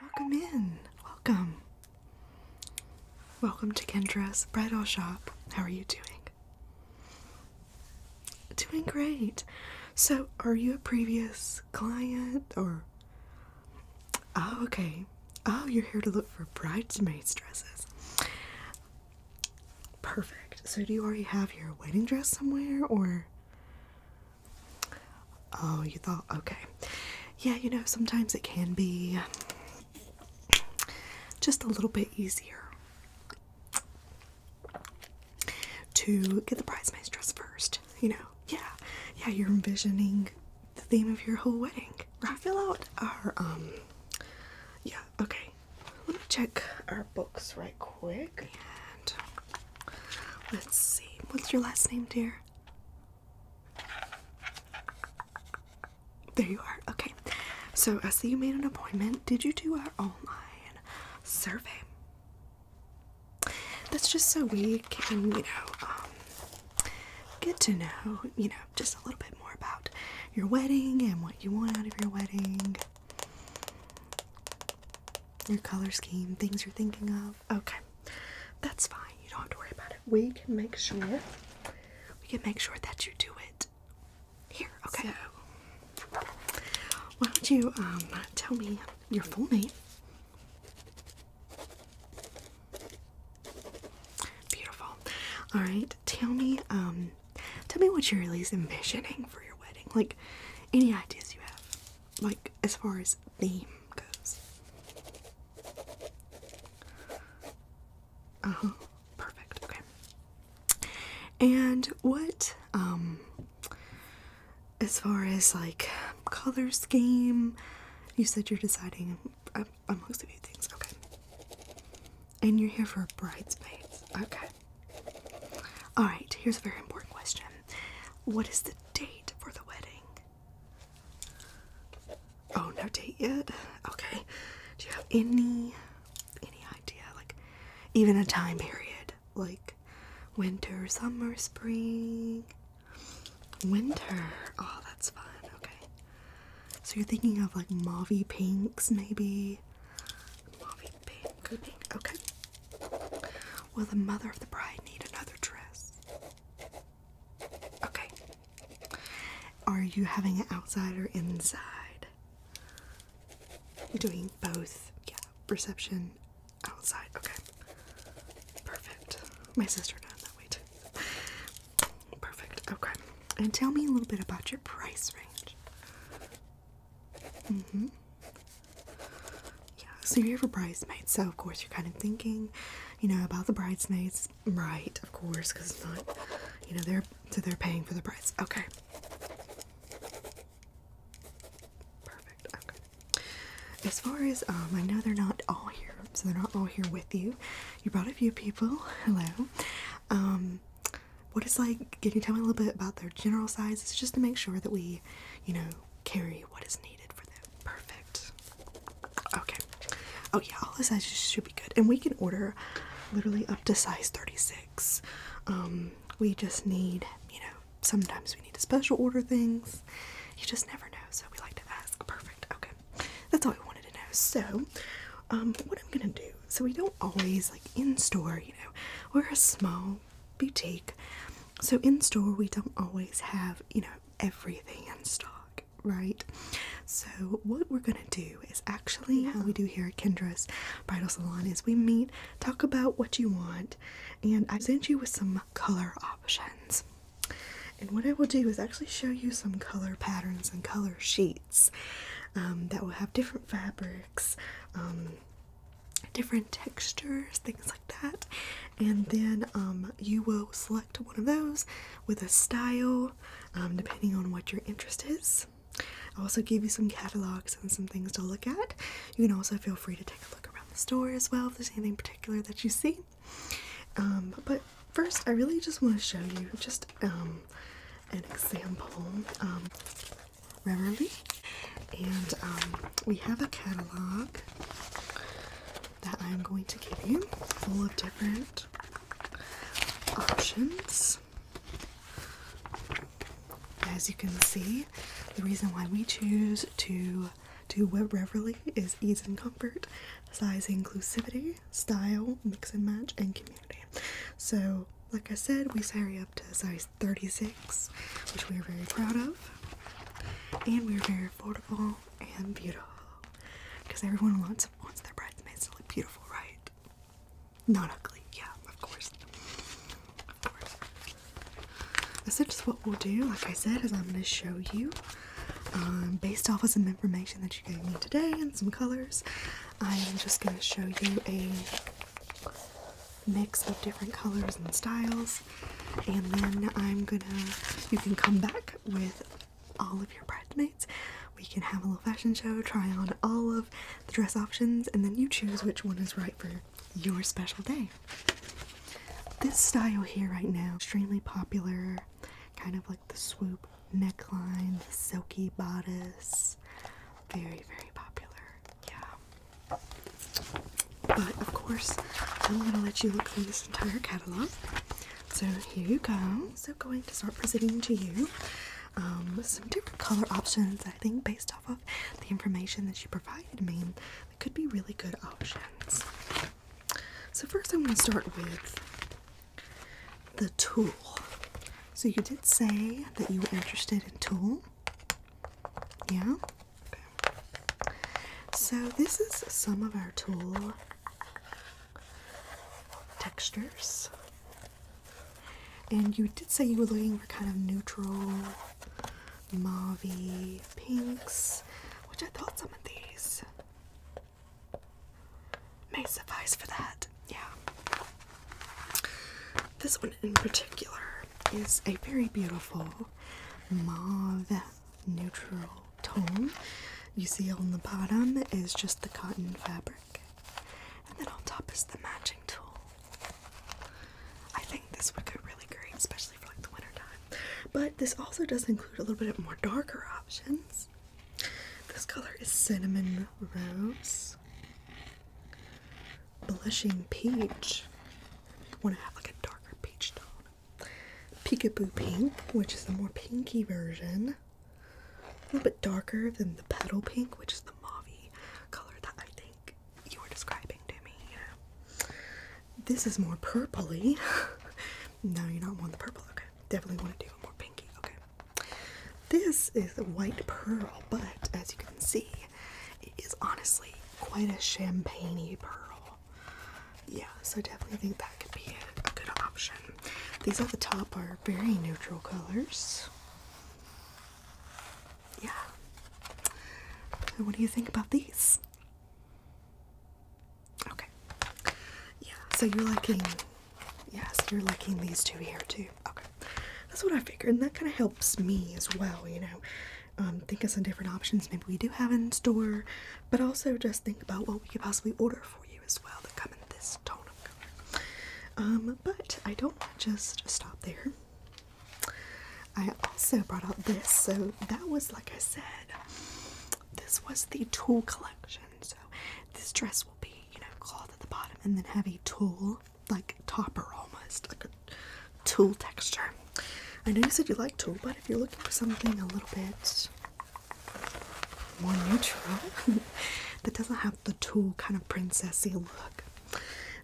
Welcome in. Welcome. Welcome to Kendra's bridal shop. How are you doing? Doing great. So, are you a previous client or? Oh, okay. Oh, you're here to look for bridesmaids' dresses. Perfect. So, do you already have your wedding dress somewhere or? Oh, you thought? Okay. Yeah, you know, sometimes it can be just a little bit easier to get the bridesmaid's dress first. You know, yeah, yeah, you're envisioning the theme of your whole wedding. Right? Fill out our, um, yeah, okay. Let me check our books right quick. And Let's see. What's your last name, dear? There you are. Okay. So I see you made an appointment. Did you do our online survey? That's just so we can, you know, um, get to know, you know, just a little bit more about your wedding and what you want out of your wedding your color scheme, things you're thinking of. Okay, that's fine. You don't have to worry about it. We can make sure. We can make sure that you do it here. Okay. why don't you um, tell me your full name? Beautiful. All right. Tell me um, tell me what you're at least envisioning for your wedding. Like any ideas you have like as far as theme goes. Uh huh. Perfect. Okay. And what, um, as far as like color scheme, you said you're deciding I'm amongst a few things. Okay. And you're here for a bridesmaids. Okay. Alright, here's a very important question. What is the date for the wedding? Oh, no date yet? Okay. Do you have any any idea? Like even a time period? Like winter, summer, spring? Winter. Oh, that's fun. Okay. So you're thinking of like mauvey pinks maybe? Movie pink. pink. Okay. Will the mother of the bride need another dress? Okay. Are you having it outside or inside? You're doing both. Yeah. Reception outside. Okay. Perfect. My sister does that way too. Perfect. Okay. And tell me a little bit about your price range. Mm-hmm. Yeah, so you're a bridesmaid, so of course you're kind of thinking, you know, about the bridesmaids, right? Of course, because it's not, you know, they're so they're paying for the price. Okay. Perfect. Okay. As far as um, I know, they're not all here, so they're not all here with you. You brought a few people. Hello. Um, what it's like. Can you tell me a little bit about their general sizes just to make sure that we, you know, carry what is needed for them? Perfect. Okay. Oh, yeah, all the sizes should be good. And we can order literally up to size 36. Um, we just need, you know, sometimes we need to special order things. You just never know, so we like to ask. Perfect. Okay. That's all we wanted to know. So, um, what I'm gonna do, so we don't always like in store, you know, we're a small boutique. So in store we don't always have, you know, everything in stock, right? So what we're gonna do is actually how we do here at Kendra's Bridal Salon is we meet, talk about what you want, and I send you with some color options. And what I will do is actually show you some color patterns and color sheets um, that will have different fabrics, um, different textures, things like that. And then um, you will select one of those with a style, um, depending on what your interest is. I also give you some catalogs and some things to look at. You can also feel free to take a look around the store as well if there's anything particular that you see. Um, but first, I really just want to show you just an example. Reverly, and um, we have a catalog that I'm going to give you full of different options. As you can see, the reason why we choose to do Web Reverly is ease and comfort, size inclusivity, style, mix and match, and community. So like I said, we size up to size 36, which we are very proud of. And we are very affordable and beautiful. Because everyone wants their bridesmaids to look beautiful, right? Not ugly, yeah, of course. Of course. This is what we'll do, like I said, is I'm gonna show you. Um, based off of some information that you gave me today and some colors, I am just gonna show you a mix of different colors and styles. And then I'm gonna, you can come back with all of your bridesmaids. We can have a little fashion show, try on all of the dress options, and then you choose which one is right for your special day. This style here right now, extremely popular, kind of like the swoop neckline, the silky bodice. Very, very popular. Yeah. But of course, I'm going to let you look through this entire catalog. So here you go. So going to start presenting to you um, some different color options. I think based off of the information that you provided me, they could be really good options. So first, I'm going to start with the tulle. So you did say that you were interested in tool, Yeah? Okay. So this is some of our tool textures. And you did say you were looking for kind of neutral, mauve pinks, which I thought some of these may suffice for that yeah. This one in particular is a very beautiful mauve neutral tone. You see on the bottom is just the cotton fabric, and then on top is the matching tool. I think this would go really great, especially for like the winter time. But this also does include a little bit of more darker options. This color is cinnamon rose blushing peach. Want to have like a darker peach tone. Peekaboo pink, which is the more pinky version. A little bit darker than the petal pink, which is the mauvey color that I think you were describing to me. You know? This is more purpley. no, you don't want the purple. Okay, definitely want to do a more pinky. Okay, this is a white pearl, but as you can see, it is honestly quite a champagne pearl. Yeah, so definitely think that could be a good option. These at the top are very neutral colors. Yeah. And what do you think about these? Okay. Yeah, so you're liking Yes, you're liking these two here too. Okay, that's what I figured, and that kind of helps me as well, you know. Um, think of some different options maybe we do have in store, but also just think about what we could possibly order for you as well that come in this tone of color. Um, but I don't want to just stop there. I also brought out this, so that was like I said, this was the tool collection. So this dress will be, you know, cloth at the bottom and then have a tulle, like topper almost, like a tulle texture. I know you said you like tulle, but if you're looking for something a little bit more neutral that doesn't have the tulle kind of princessy look.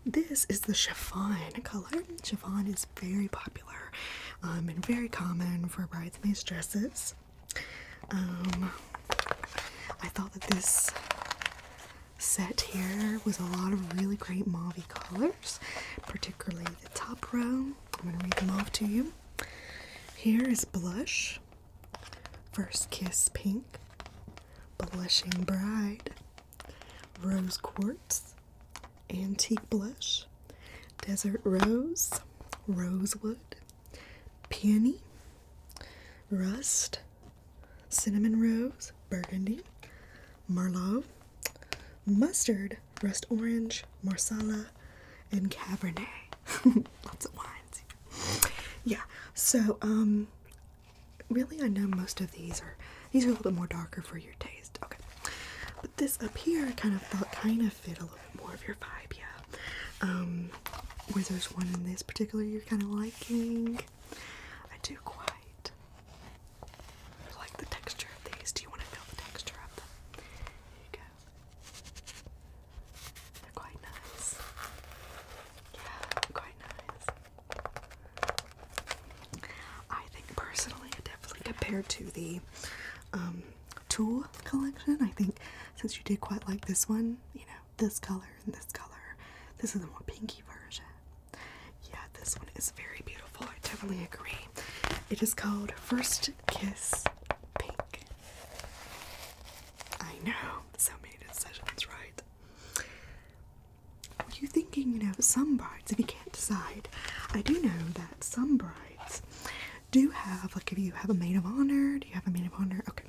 This is the chiffon color. Chiffon is very popular um, and very common for bridesmaid dresses. Um, I thought that this set here was a lot of really great mauve colors, particularly the top row. I'm going to read them off to you. Here is Blush, First Kiss Pink, Blushing Bride, Rose Quartz, Antique Blush, Desert Rose, Rosewood, peony, rust, cinnamon rose, burgundy, merlot, mustard, rust orange, marsala, and cabernet. Lots of wines. Yeah, so um, really I know most of these are these are a little bit more darker for your taste. Okay. But this up here I kind of felt kind of fit a little bit more of your vibe, yeah. Um, there's one in this particular you're kind of liking? I do quite like the texture of these. Do you want to feel the texture of them? Here you go. They're quite nice. quite nice. I think personally, definitely compared to the um, Tool collection, I think since you did quite like this one, you know, this color and this color. This is a more pinky version. Yeah, this one is very beautiful. I definitely agree. It is called First Kiss Pink. I know, so many decisions, right? Were you thinking, you know, some brides, if you can't decide, I do know that some brides do have, like, if you have a maid of honor, do you have a maid of honor? Okay,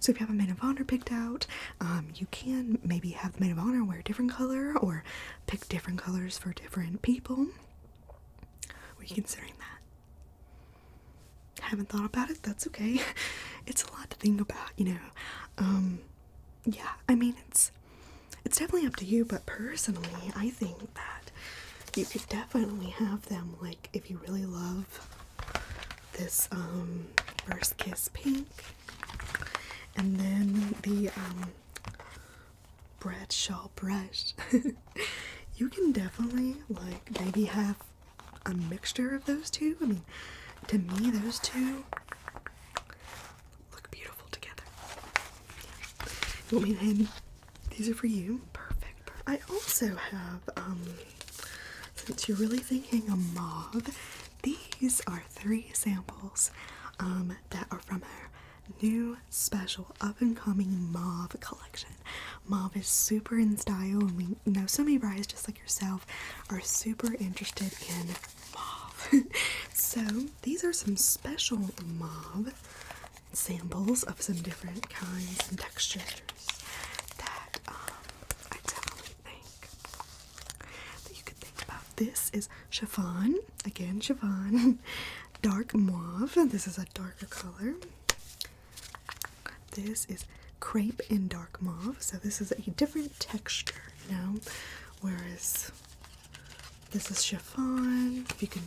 so if you have a maid of honor picked out, um, you can maybe have the maid of honor wear a different color or pick different colors for different people. Were you considering that? Haven't thought about it? That's okay. It's a lot to think about, you know. Um, yeah, I mean it's it's definitely up to you, but personally, I think that you could definitely have them like if you really love this um, first kiss pink and then the um, Bradshaw brush. you can definitely like maybe have a mixture of those two. I mean, to me, those two look beautiful together. You want me to name? These are for you. Perfect. I also have, um, since you're really thinking a mauve, these are three samples um, that are from our new special up and coming mauve collection. Mauve is super in style, and we know so many brides just like yourself are super interested in mauve. so these are some special mauve samples of some different kinds and textures that um, I definitely think that you could think about. This is chiffon, again chiffon, dark mauve. This is a darker color. This is crepe in dark mauve, so this is a different texture, you know, whereas this is chiffon. You can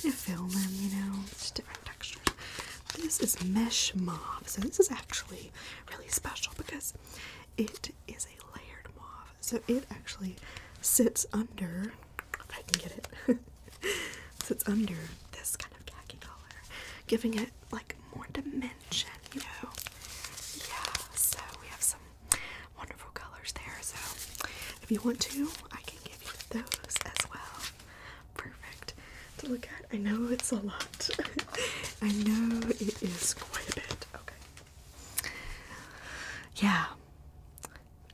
kind of feel them, you know, it's different this is mesh mauve, so this is actually really special because it is a layered mauve. So it actually sits under. I can get it. sits under this kind of khaki color, giving it like more dimension. You know, yeah. So we have some wonderful colors there. So if you want to, I can give you those as well perfect to look at. I know it's a lot. I know it is quite a bit. Okay. Yeah.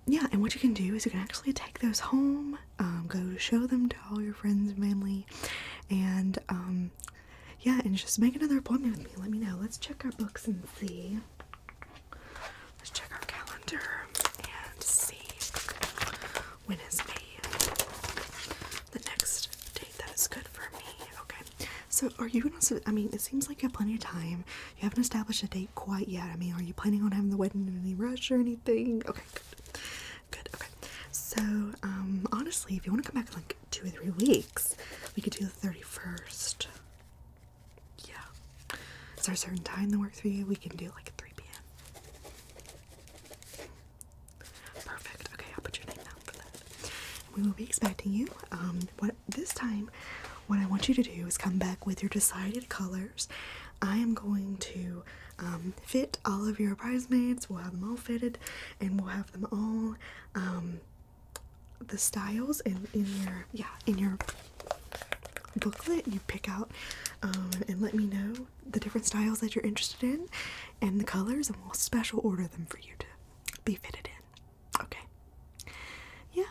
Yeah, and what you can do is you can actually take those home, um, go show them to all your friends mainly, and um, yeah, and just make another appointment with me. Let me know. Let's check our books and see. Let's check our calendar and see when is May the next date that is good for me. Okay. So are you gonna I mean it seems like you have plenty of time. You haven't established a date quite yet. I mean, are you planning on having the wedding in any rush or anything? Okay, good. Good, okay. So, um, honestly, if you want to come back in like two or three weeks, we could do the 31st. Yeah. Is there a certain time that works for you? We can do like 3 p.m. Perfect. Okay, I'll put your name down for that. We will be expecting you. Um, what this time, what I want you to do is come back with your decided colors. I am going to um, fit all of your bridesmaids. We'll have them all fitted, and we'll have them all um, the styles in in your yeah in your booklet you pick out um, and let me know the different styles that you're interested in and the colors, and we'll special order them for you to be fitted in. Okay. Yeah.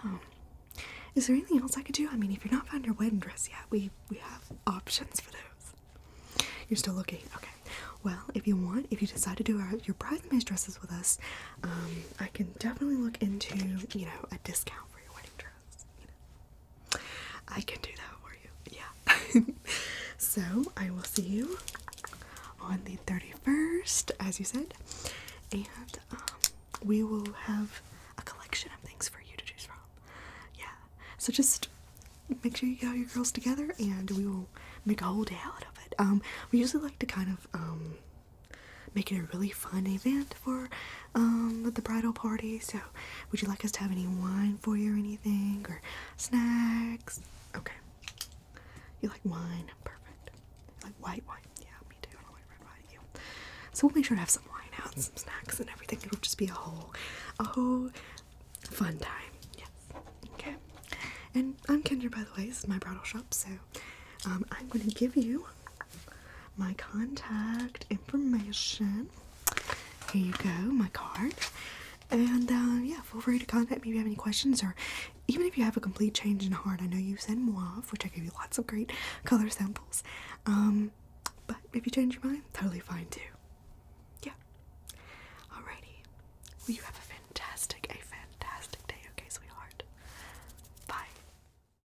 Is there anything else I could do? I mean, if you're not found your wedding dress yet, we we have options for those. You're still looking. Okay. Well, if you want, if you decide to do your bridesmaid dresses with us, um, I can definitely look into you know a discount for your wedding dress. I can do that for you. Yeah. so I will see you on the 31st, as you said, and um, we will have a collection of things for you to choose from. Yeah. So just make sure you get all your girls together and we will make a whole day out of it. Um, we usually like to kind of um, make it a really fun event for um, at the bridal party. So, would you like us to have any wine for you or anything? Or snacks? Okay. You like wine? Perfect. like white wine? Yeah, me too. I like red wine. You. So, we'll make sure to have some wine out some snacks and everything. It'll just be a whole, a whole fun time. Yes. Okay. And I'm Kendra, by the way. This is my bridal shop. So, um, I'm going to give you my contact information. Here you go, my card. And uh, yeah, feel free to contact me if you have any questions or even if you have a complete change in heart. I know you said mauve, which I gave you lots of great color samples. Um, but if you change your mind, totally fine too. Yeah. Alrighty. Well, you have a fantastic, a fantastic day, okay, sweetheart? Bye.